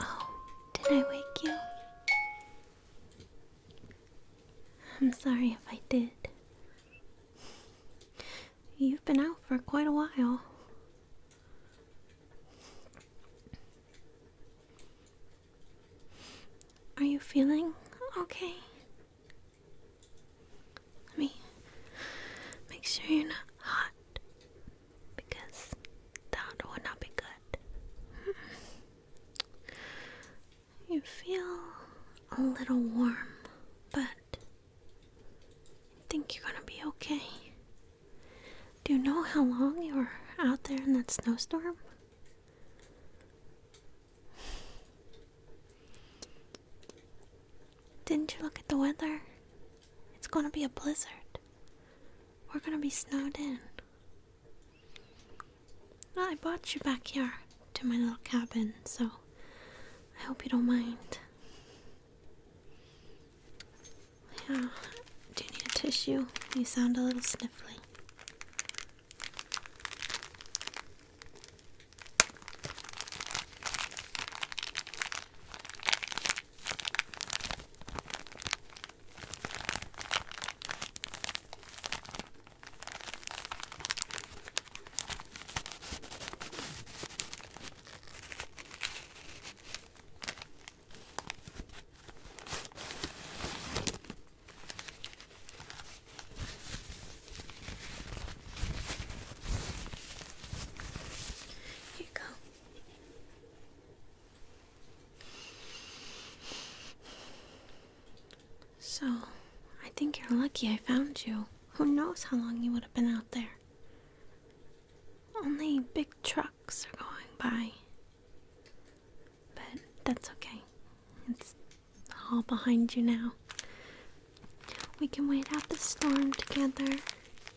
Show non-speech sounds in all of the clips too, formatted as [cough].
Oh, did I wake you? I'm sorry if I did. You've been out for quite a while. Are you feeling okay? Let me make sure you're not hot because that would not be good. Hmm. you feel a little warm, but I think you're gonna be okay. Do you know how long you were out there in that snowstorm? Didn't you look at the weather? It's gonna be a blizzard. We're gonna be snowed in. Well, I brought you back here to my little cabin, so I hope you don't mind. Yeah, do you need a tissue? You sound a little sniffly. Here you go. So, I think you're lucky I found you. Who knows how long you would have been out there? Only big trucks are going by. But that's okay. It's all behind you now. We can wait out the storm together,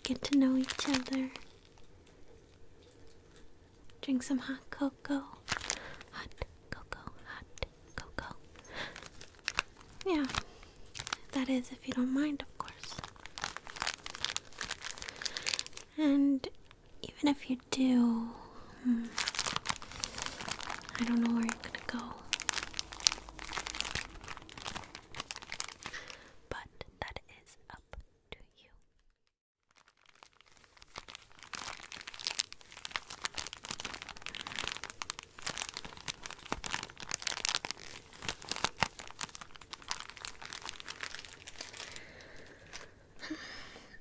get to know each other, Drink some hot cocoa. Hot cocoa, hot cocoa. Yeah, that is if you don't mind, of course. And even if you do, hmm, I don't know where you're gonna go. But that [sighs]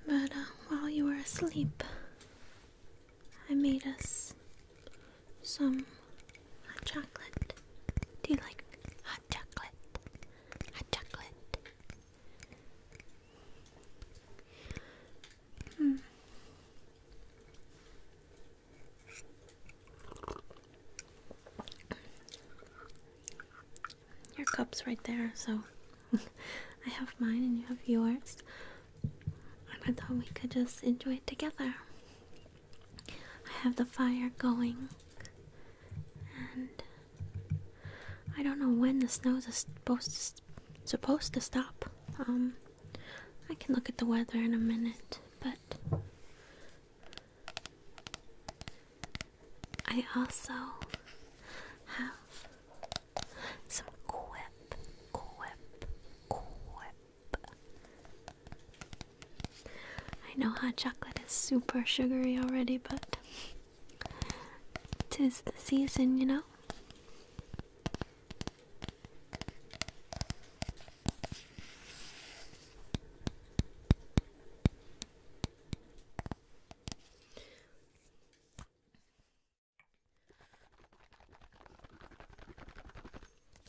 but uh, while you were asleep, I made us some hot chocolate. Do you like hot chocolate, hot chocolate. Hmm. Your cup's right there, so [laughs] I have mine and you have yours. And I thought we could just enjoy it together. I have the fire going, and I don't know when the snow's supposed supposed to stop. Um, I can look at the weather in a minute, but I also have some quip, quip, quip. I know hot chocolate is super sugary already, but tis the season, you know?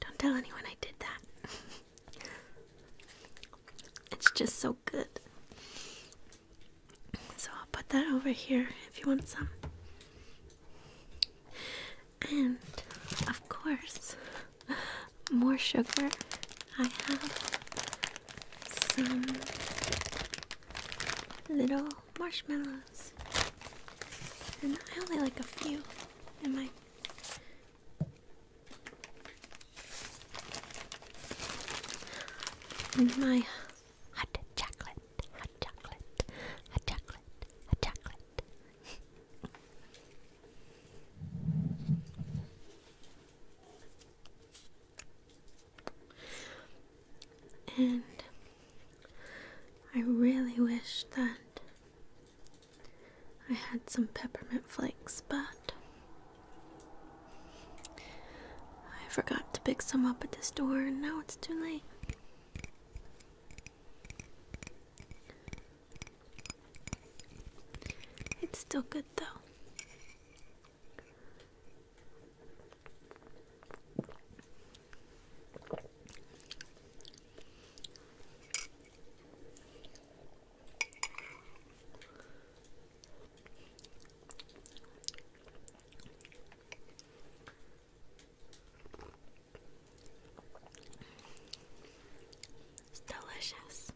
don't tell anyone I did that. it's just so good. So I'll put that over here if you want some. And of course, more sugar. I have some little marshmallows. And I only like a few in my in my hot chocolate, hot chocolate, hot chocolate, hot chocolate. And I really wish that I had some peppermint flakes, but I forgot to pick some up at the store, and now it's too late. It's still good though. It's delicious.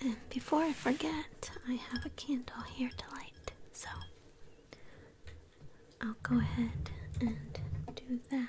And before I forget, I have a candle here to light, so I'll go ahead and do that.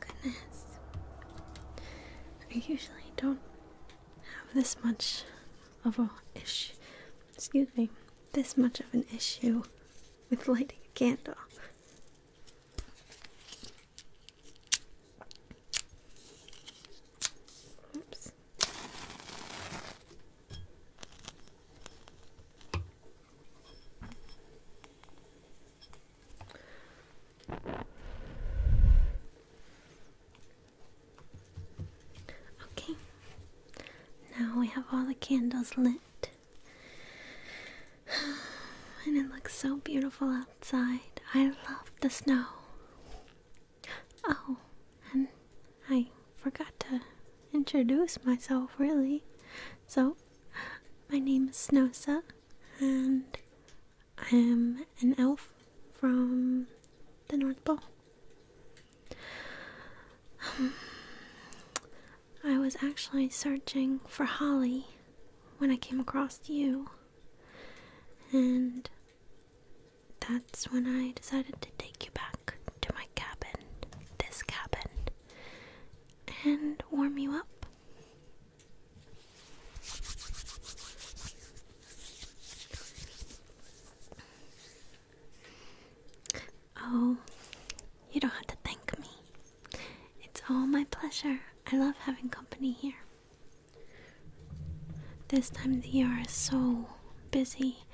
goodness. I usually don't have this much of a issue. Excuse me, this much of an issue with lighting a candle. Oops. Okay, now we have all the candles lit. [sighs] And it looks so beautiful outside. I love the snow. Oh, and I forgot to introduce myself, really. So, my name is Snosa, and I am an elf from the North Pole. Um, I was actually searching for Holly when I came across you, and that's when I decided to take you back to my cabin, this cabin, and warm you up. Oh, you don't have to thank me. It's all my pleasure. I love having company here. This time of the year is so busy,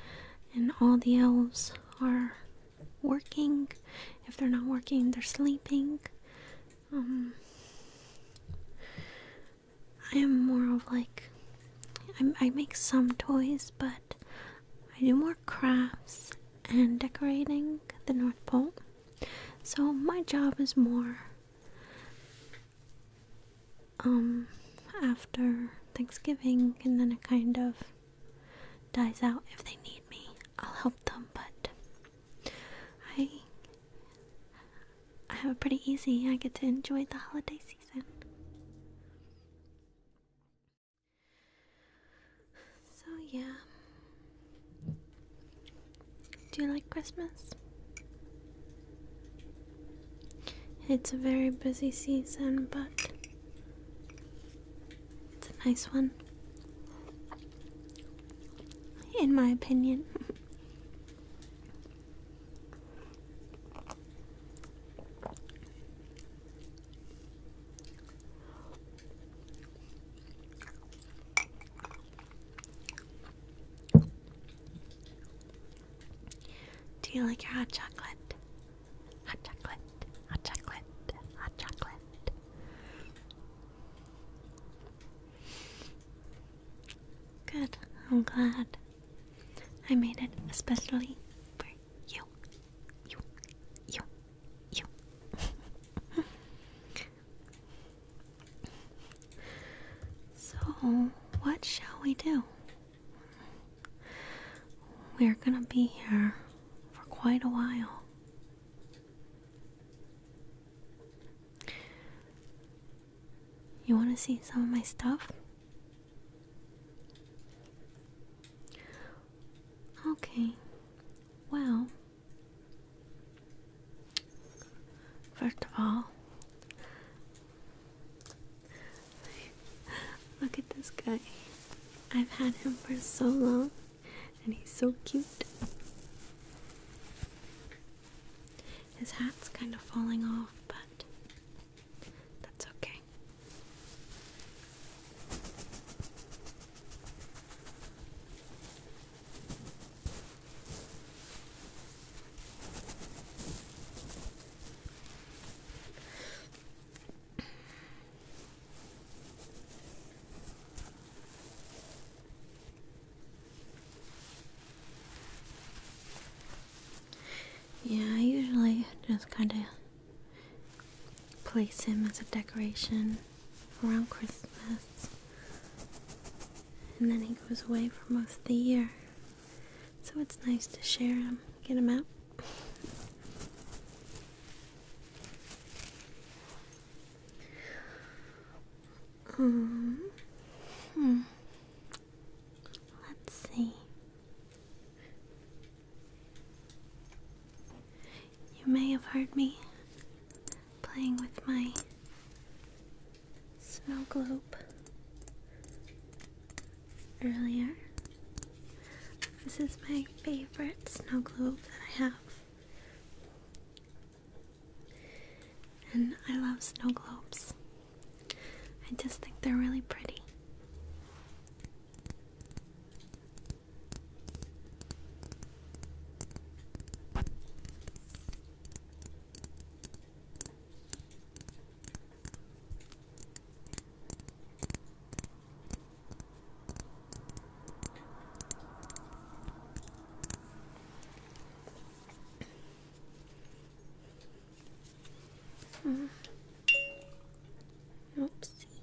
and all the elves are working. If they're not working, they're sleeping. Um, I am more of like I make some toys, but I do more crafts and decorating the North Pole. So my job is more um after Thanksgiving and then it kind of dies out if they need me. I'll help them, but I I have it pretty easy. I get to enjoy the holiday season. So yeah. Do you like Christmas? It's a very busy season, but it's a nice one, in my opinion. Do you like your hot chocolate? Hot chocolate, hot chocolate, hot chocolate. Good, I'm glad. I made it especially for you. You, you, you. [laughs] So, what shall we do? We're gonna be here for quite a while. You wanna see some of my stuff? Okay, well, first of all, Look at this guy. I've had him for so long, and he's so cute. His hat's kind of falling off, but that's okay. Yeah, I usually just kind of place him as a decoration around Christmas, and then he goes away for most of the year. So it's nice to share them, um, get them out. Um, hmm. Let's see. You may have heard me playing with my Snow globe earlier. This is my favorite snow globe that I have. And I love snow globes. I just think they're really pretty. Mm. Oopsie.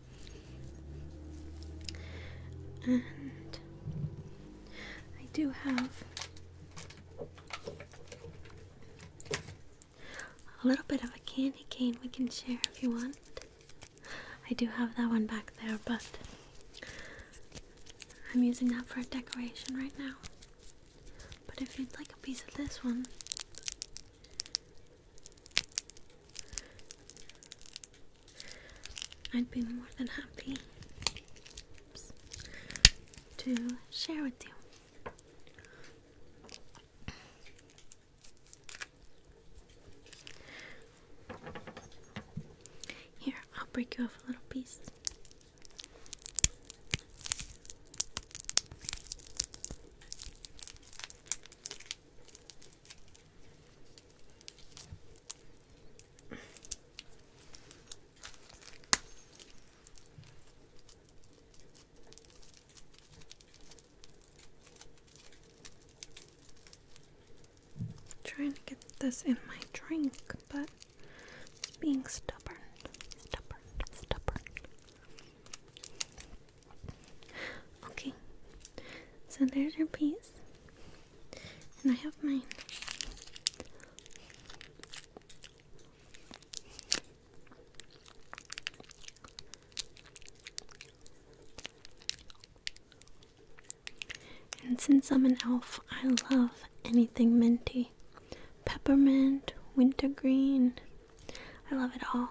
And I do have a little bit of a candy cane we can share if you want. I do have that one back there, but I'm using that for a decoration right now. But if you'd like a piece of this one, I'd be more than happy to share with you. Here, I'll break you off a little piece. Trying to get this in my drink, but being stubborn, stubborn, stubborn. Okay, so there's your piece. And I have mine. And since I'm an elf, I love anything minty. Peppermint, wintergreen, I love it all.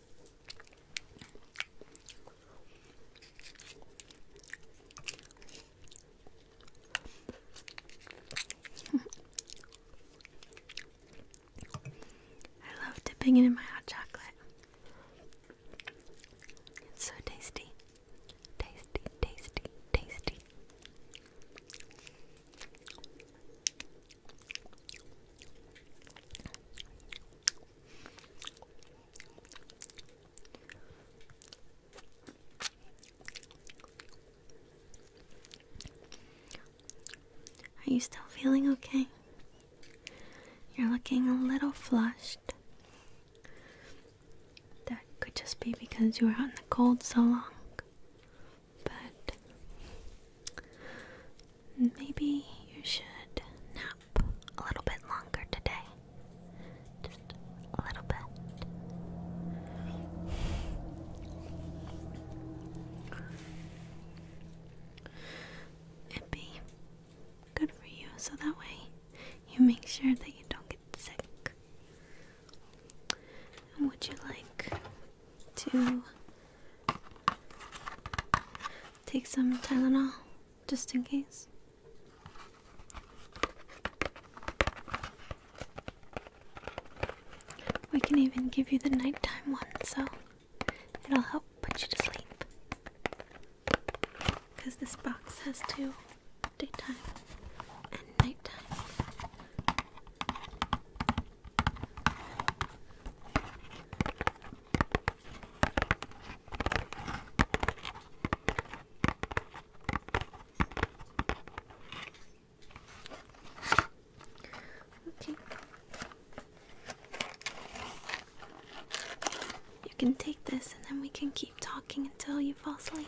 [laughs] I love dipping it in my hot chocolate. It's so tasty. Tasty, tasty, tasty. Are you still feeling okay? You're looking a little flushed. That could just be because you were out in the cold so long but maybe you should nap a little bit longer today. Just a little bit. It'd be good for you so that way you make sure that you don't get sick. would you like to take some Tylenol just in case. We can even give you the nighttime one so it'll help put you to sleep. Because this box has two daytime and nighttime. Okay. You can take this and then we can keep talking until you fall asleep.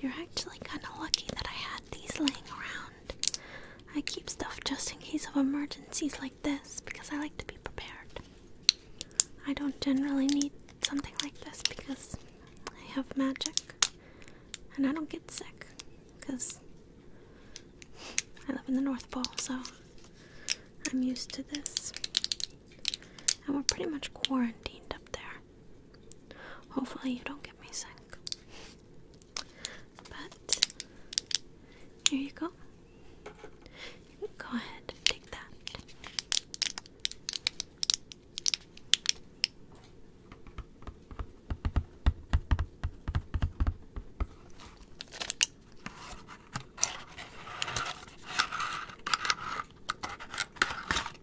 You're actually kinda lucky that I had these laying around. I keep stuff just in case of emergencies like this because I like to be prepared. I don't generally need something like this because I have magic and I don't get sick because I live in the North Pole, so I'm used to this. And we're pretty much quarantined up there. Hopefully, you don't get me sick. But here you go. go ahead take that.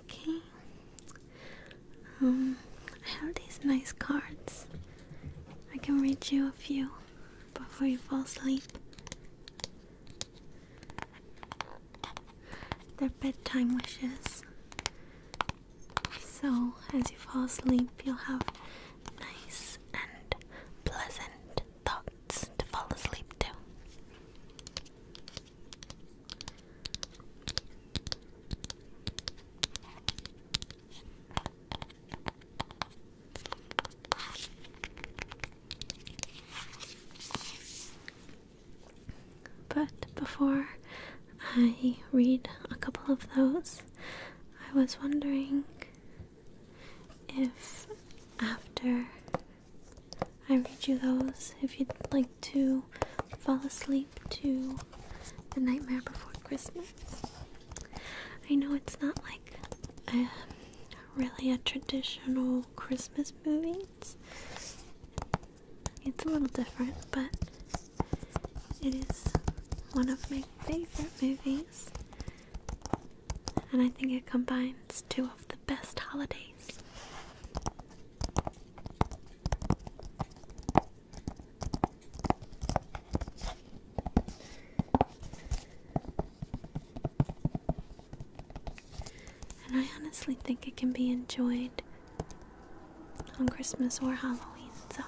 Okay. Um, I have these nice cards. I can read you a few before you fall asleep. They're bedtime wishes. So, as you fall asleep, you'll have nice and pleasant thoughts to fall asleep too. But before I read a couple of those, I was wondering if after I read you those if you'd like to fall asleep to The Nightmare Before Christmas. I know it's not like um, really a traditional Christmas movie. it's a little different, but it is one of my favorite movies. And I think it combines two of the best holidays. And I honestly think it can be enjoyed on Christmas or Halloween, so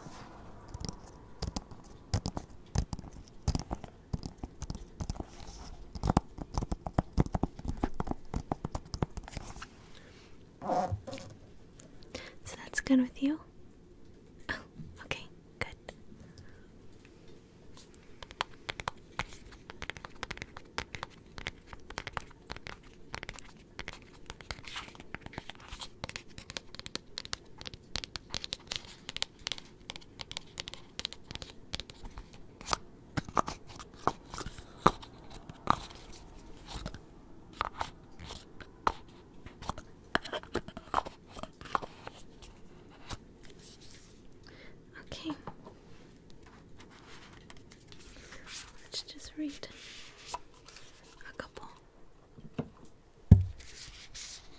so that's good with you? Oh, okay, good. Okay. Let's just read a couple.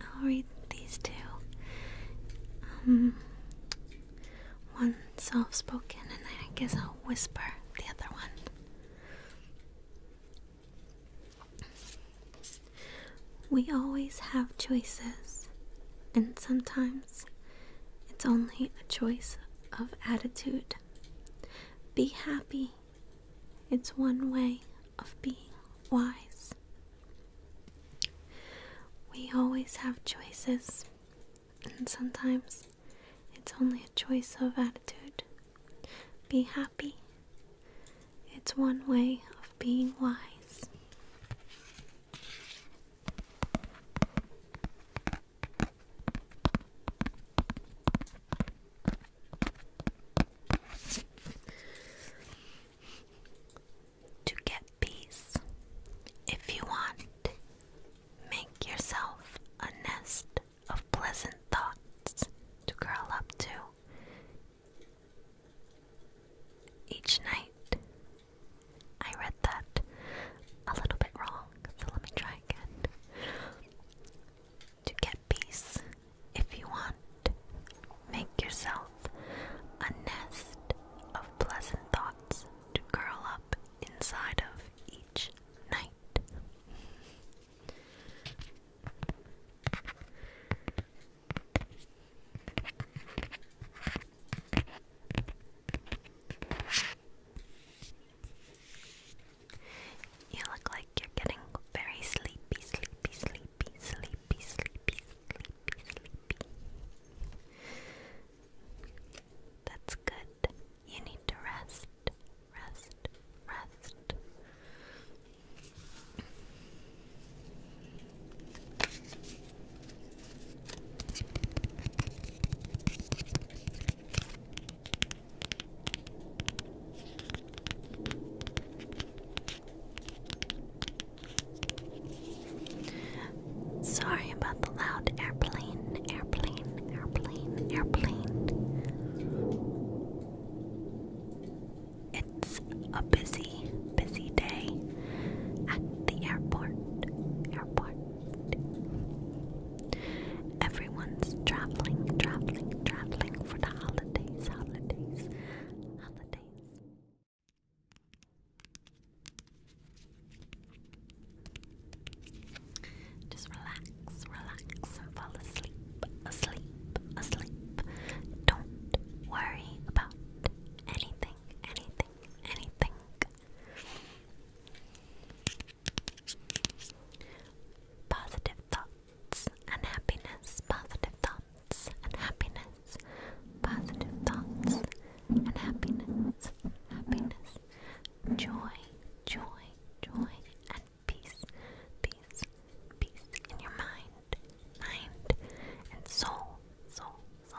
I'll read these two. Um, one soft spoken, and then I guess I'll whisper the other one. We always have choices, and sometimes it's only a choice of attitude. Be happy, it's one way of being wise. We always have choices, and sometimes it's only a choice of attitude. Be happy. It's one way of being wise. To get peace, if you want, make yourself a nest of pleasant thoughts to curl up to. Each night, I read that a little bit wrong, so let me try again. To get peace. If you want, make yourself a nest of pleasant thoughts to curl up inside of each night. You look like you're getting very sleepy, sleepy, sleepy, sleepy, sleepy, sleepy, sleepy. That's good. You need to rest, rest, rest. Sorry about the loud airplane, airplane, airplane, airplane. It's a busy, busy day at the airport, airport. Everyone's traveling, traveling, traveling for the holidays, holidays, just relax, relax, and fall asleep, asleep, asleep. Don't worry about anything, anything, anything. Positive thoughts thoughts and happiness, positive thoughts and positive thoughts and happiness, joy, joy, joy, and peace, peace, peace in your mind, mind, and soul, soul, soul.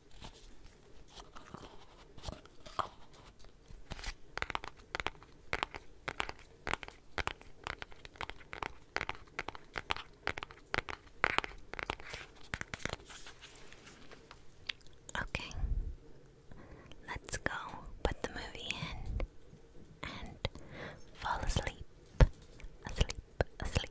Okay, let's go put the movie in and fall asleep, asleep, asleep.